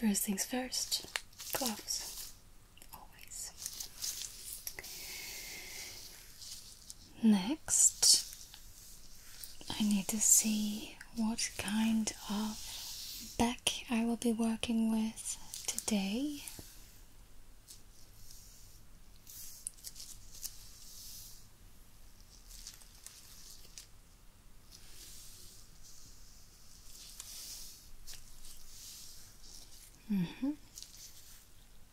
First things first, gloves. Always. Next, I need to see what kind of back I will be working with today. Mm -hmm.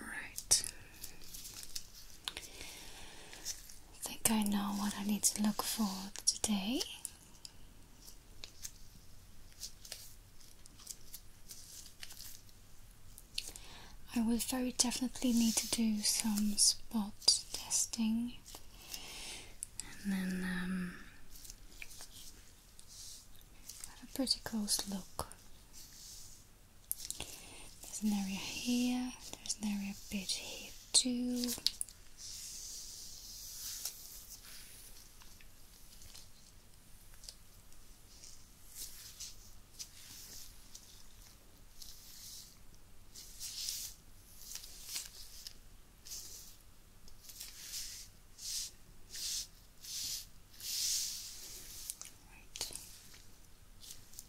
Right. I think I know what I need to look for today. I will very definitely need to do some spot testing and then um, have a pretty close look there's an area here, there's an area a bit here too. Right.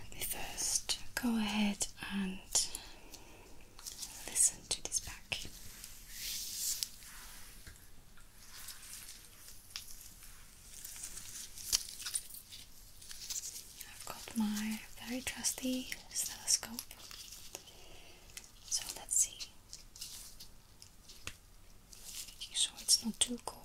Let me first go ahead and listen to this back. I've got my very trusty stethoscope. So let's see. Making it's not too cold.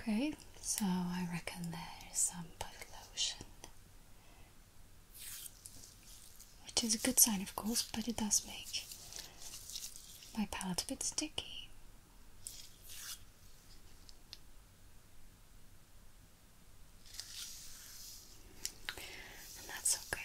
Okay, so I reckon there is some body lotion, which is a good sign, of course, but it does make my palette a bit sticky. And that's okay.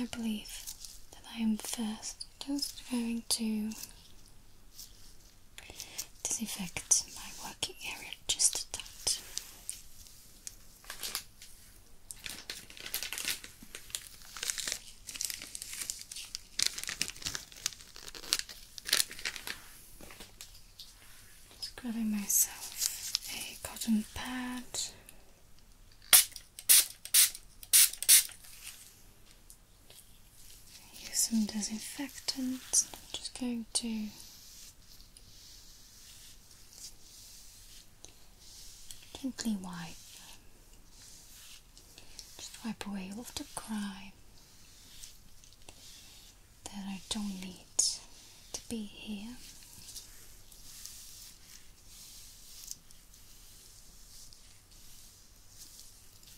I believe that I am first just going to this affects my working area just a touch. Just grabbing myself a cotton pad. Use some disinfectant. I'm just going to gently wipe. Just wipe away all the crime that I don't need to be here.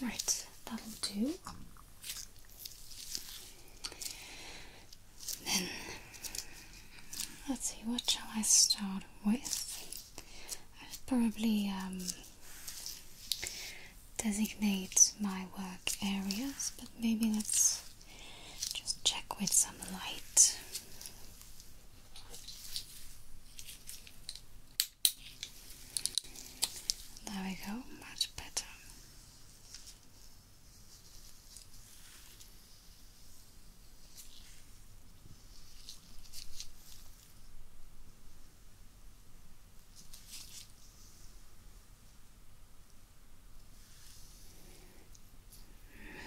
Right, that'll do. Then let's see, what shall I start with? I'll probably um, designate my work areas, but maybe let's just check with some light. There we go, much better.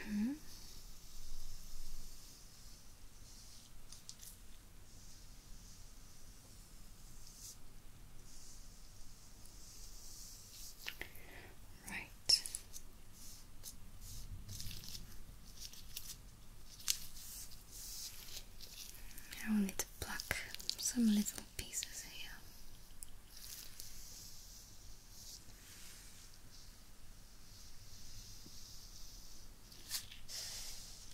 Mm -hmm. Right. I need to pluck some little pieces here.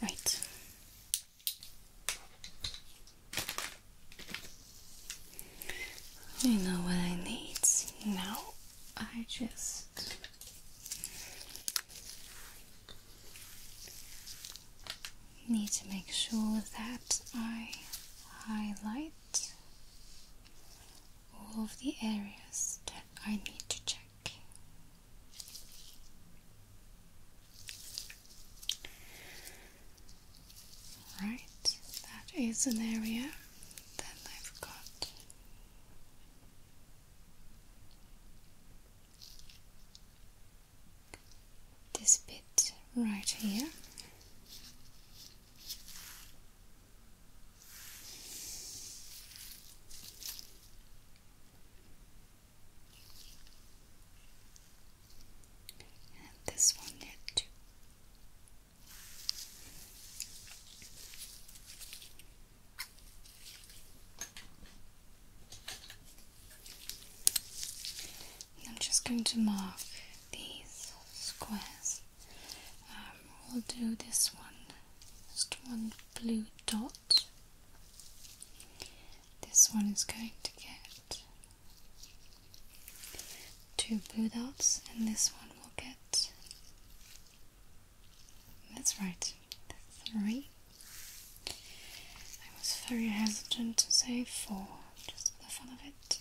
Right. You know what I need now. I just Need to make sure that I highlight all of the areas that I need to check. Right, that is an area that I've got this bit right here. And this one here too. I'm just going to mark these squares. Um, we'll do this one, just one blue dot. This one is going to get two blue dots, and this one will get that's right, three. I was very hesitant to say four, just for the fun of it.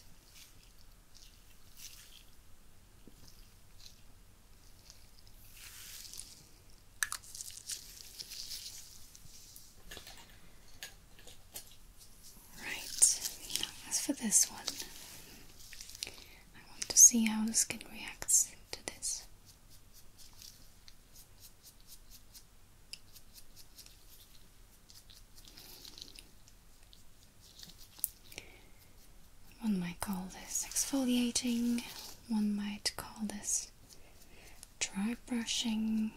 Right, as for this one, I want to see how the skin reacts to this. One might call this exfoliating, one might call this dry brushing.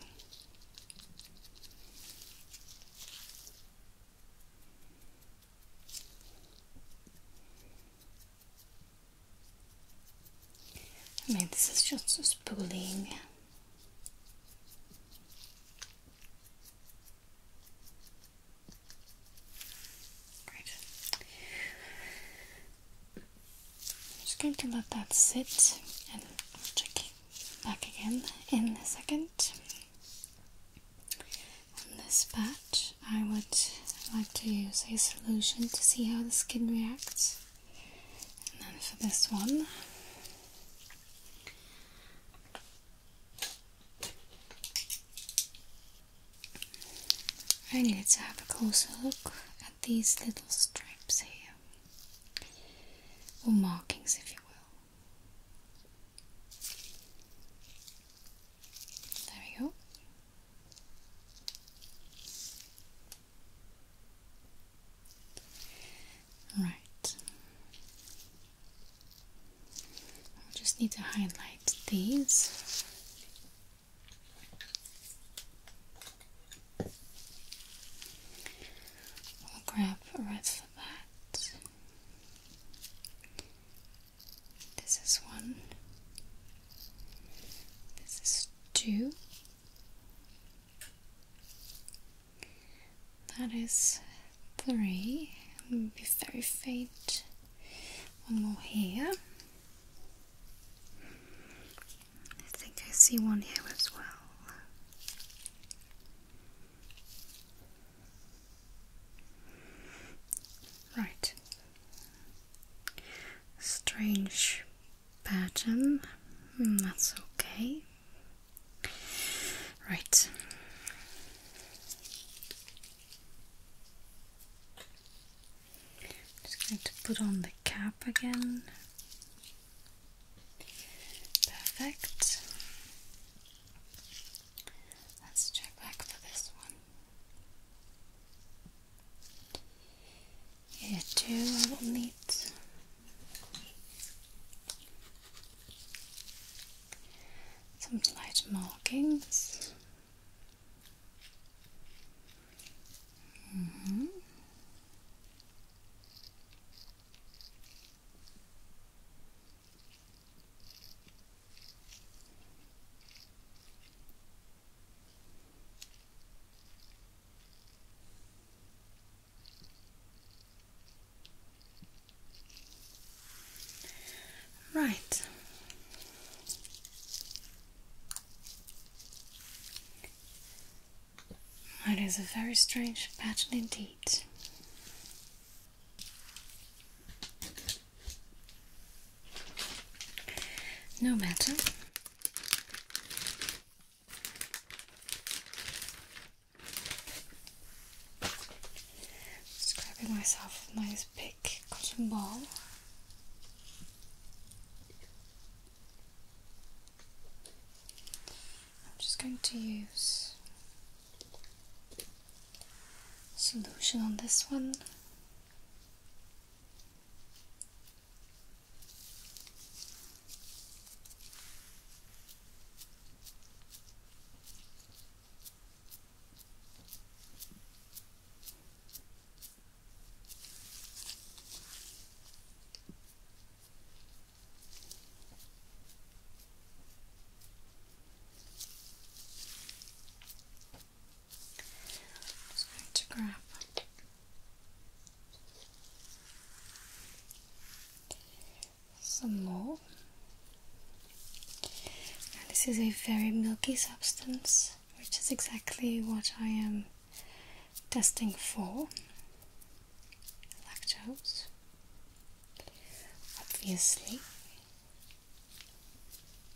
I mean, this is just a spooling. Great. I'm just going to let that sit and check back again in a second. On this patch, I would like to use a solution to see how the skin reacts. And then for this one, I need to have a closer look at these little stripes here, or markings if you will. There we go. Right. i just need to highlight these. I'll grab the red for that. This is one. This is two. That is three. Be very faint. One more here. I think I see one here as well. Right. Strange pattern. Hmm, that's okay. Right. Just going to put on the cap again. Perfect. Let's check back for this one. Here too I some slight markings. Mm-hmm. Right. It is a very strange patch indeed. No matter. Just myself nice big cotton ball. I'm just going to use solution on this one just going to grab some more. this is a very milky substance, which is exactly what I am testing for. Lactose, obviously.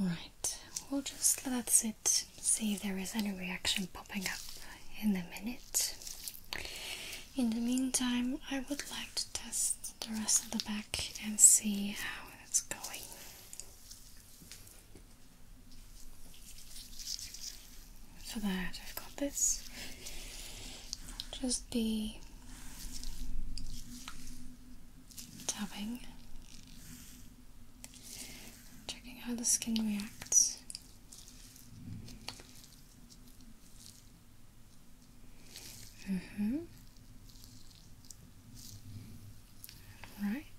Right, we'll just let that sit, see if there is any reaction popping up in a minute. In the meantime, I would like to test the rest of the back and see how it's going. For that, I've got this. Just be tapping, checking how the skin reacts. Mm hmm. Right.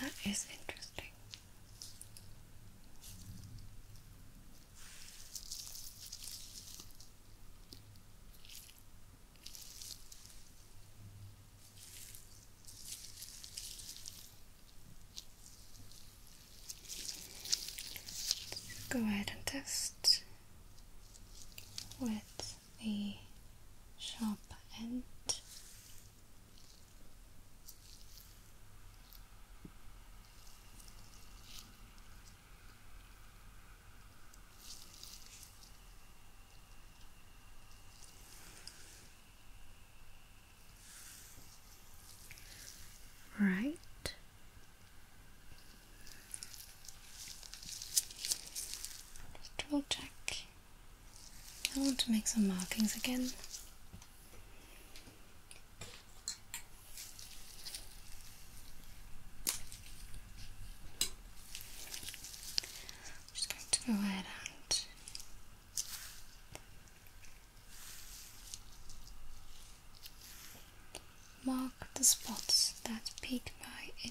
That is interesting. go ahead and test with the sharp end. Right. Just double check. I want to make some markings again. I'm just going to go ahead and mark the spots that peak my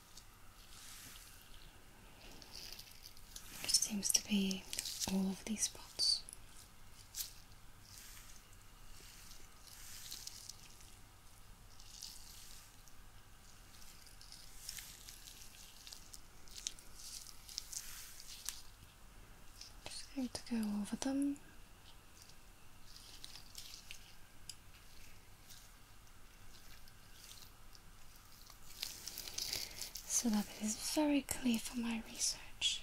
Which seems to be all of these spots. Just going to go over them so that it is very clear for my research.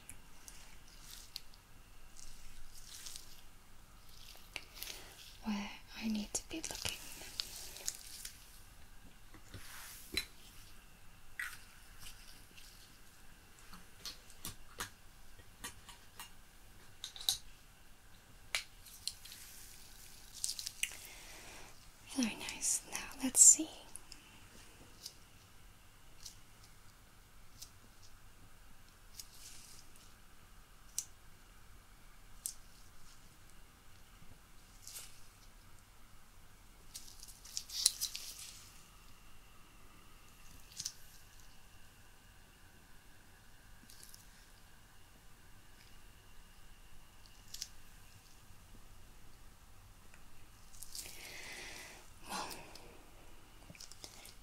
Where I need to be looking. Very nice. Now let's see. Well,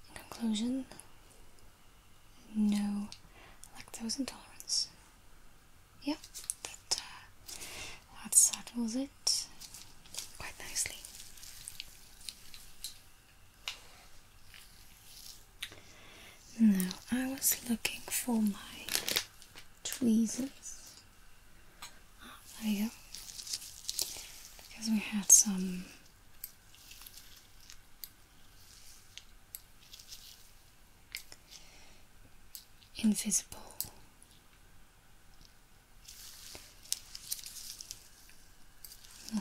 in conclusion, no lactose intolerance. Yeah, that, uh, that settles it quite nicely. Now, I was looking for my tweezers. Ah, there we go. Because we had some. Invisible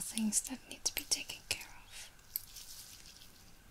things that need to be taken care of.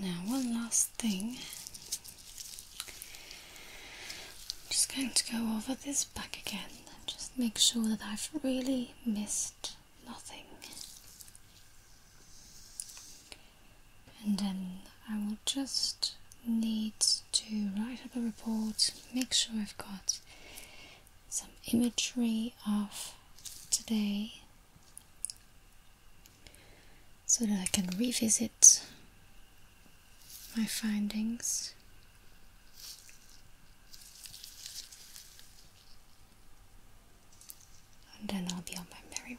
Now, one last thing. I'm just going to go over this back again and just make sure that I've really missed nothing. And then I will just need to write up a report, make sure I've got some imagery of today so that I can revisit my findings. And then I'll be on my merry way.